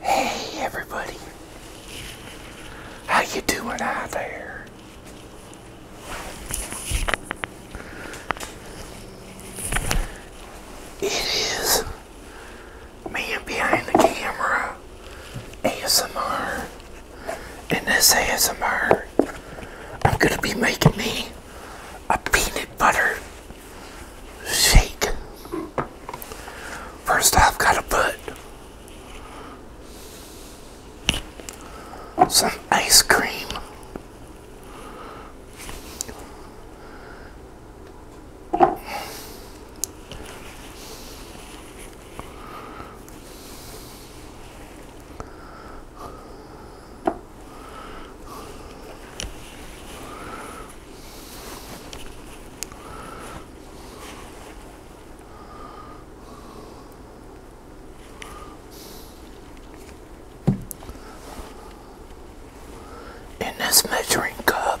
Hey everybody. How you doing out there? It is me behind the camera ASMR. and this ASMR, I'm gonna be making me a peanut butter shake. First off, gotta put some ice cream in this measuring cup.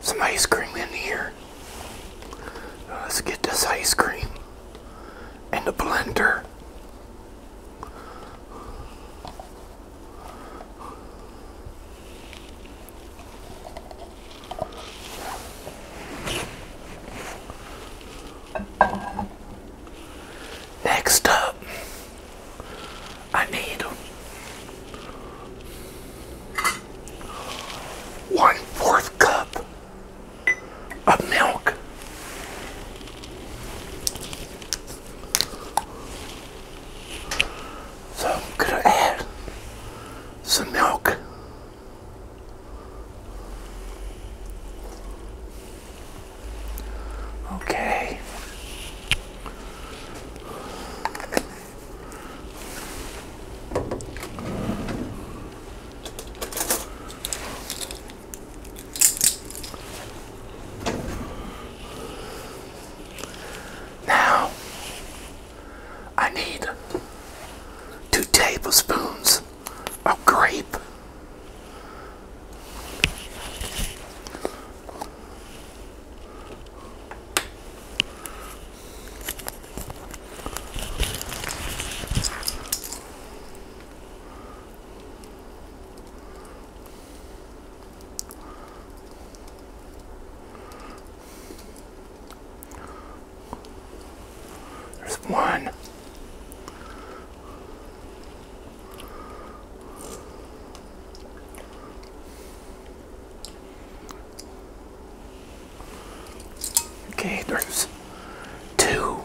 some ice cream in here. Uh, let's get this ice cream and the blender. Next up, I need one fourth cup of milk. So going to add some milk. Okay. Now, I need two tablespoons of grape. There's one. Okay, there's two.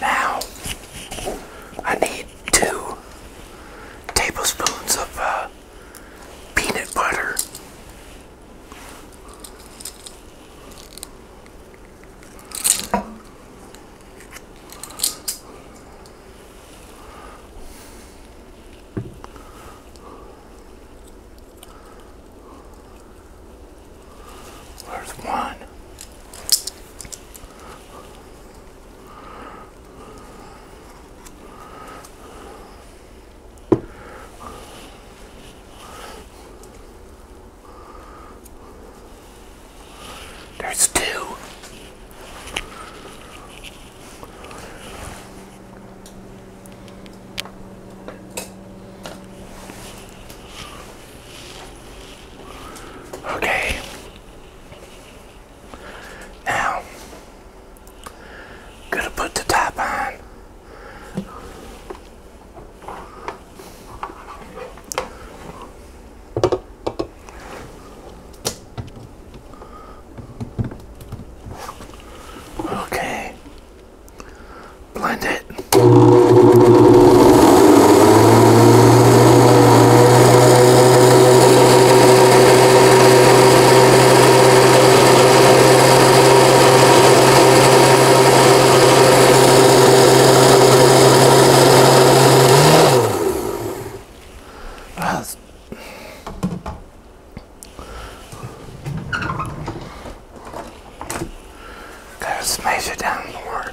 Now, I need two tablespoons of uh, peanut butter. There's one. There's two. Okay. Now, gonna put the top on. Okay. Blend it. Uh, gotta smash it down more.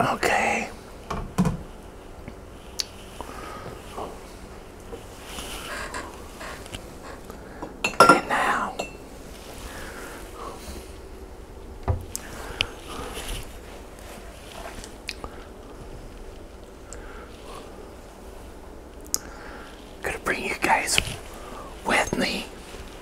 Okay. And now gonna bring you guys with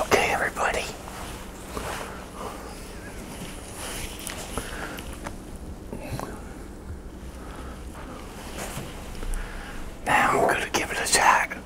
Okay, everybody. Now I'm going to give it a shot.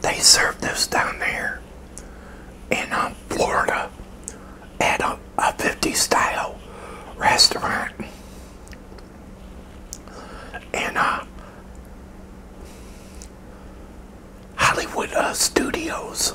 They serve this down there in um, Florida at a, 50 style restaurant. And uh, Hollywood uh, Studios.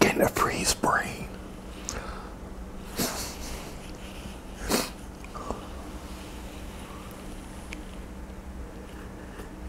Getting the freeze brain.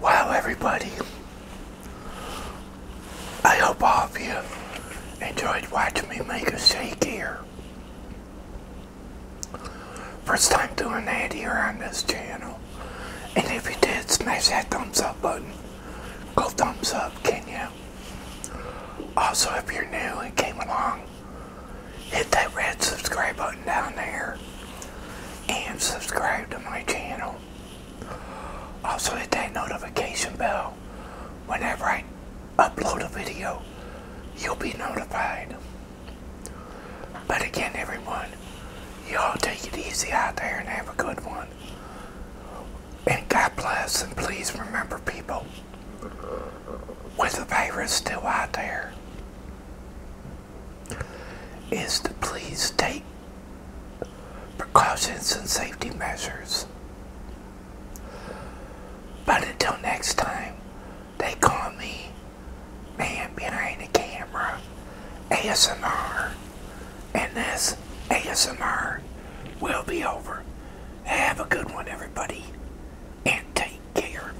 Wow, everybody. I hope all of you enjoyed watching me make a shake here. First time doing that here on this channel. And if you did, smash that thumbs up button. Go thumbs up, can you? Also, if you're new and came along, hit that red subscribe button down there and subscribe to my channel. Also hit that notification bell. Whenever I upload a video, you'll be notified. But again, everyone, y'all take it easy out there and have a good one. And God bless, and please remember, people, with the virus still out there, is to please take precautions and safety measures. But until next time, they call me Man Behind the Camera ASMR, and this ASMR will be over. Have a good one, everybody, and take care.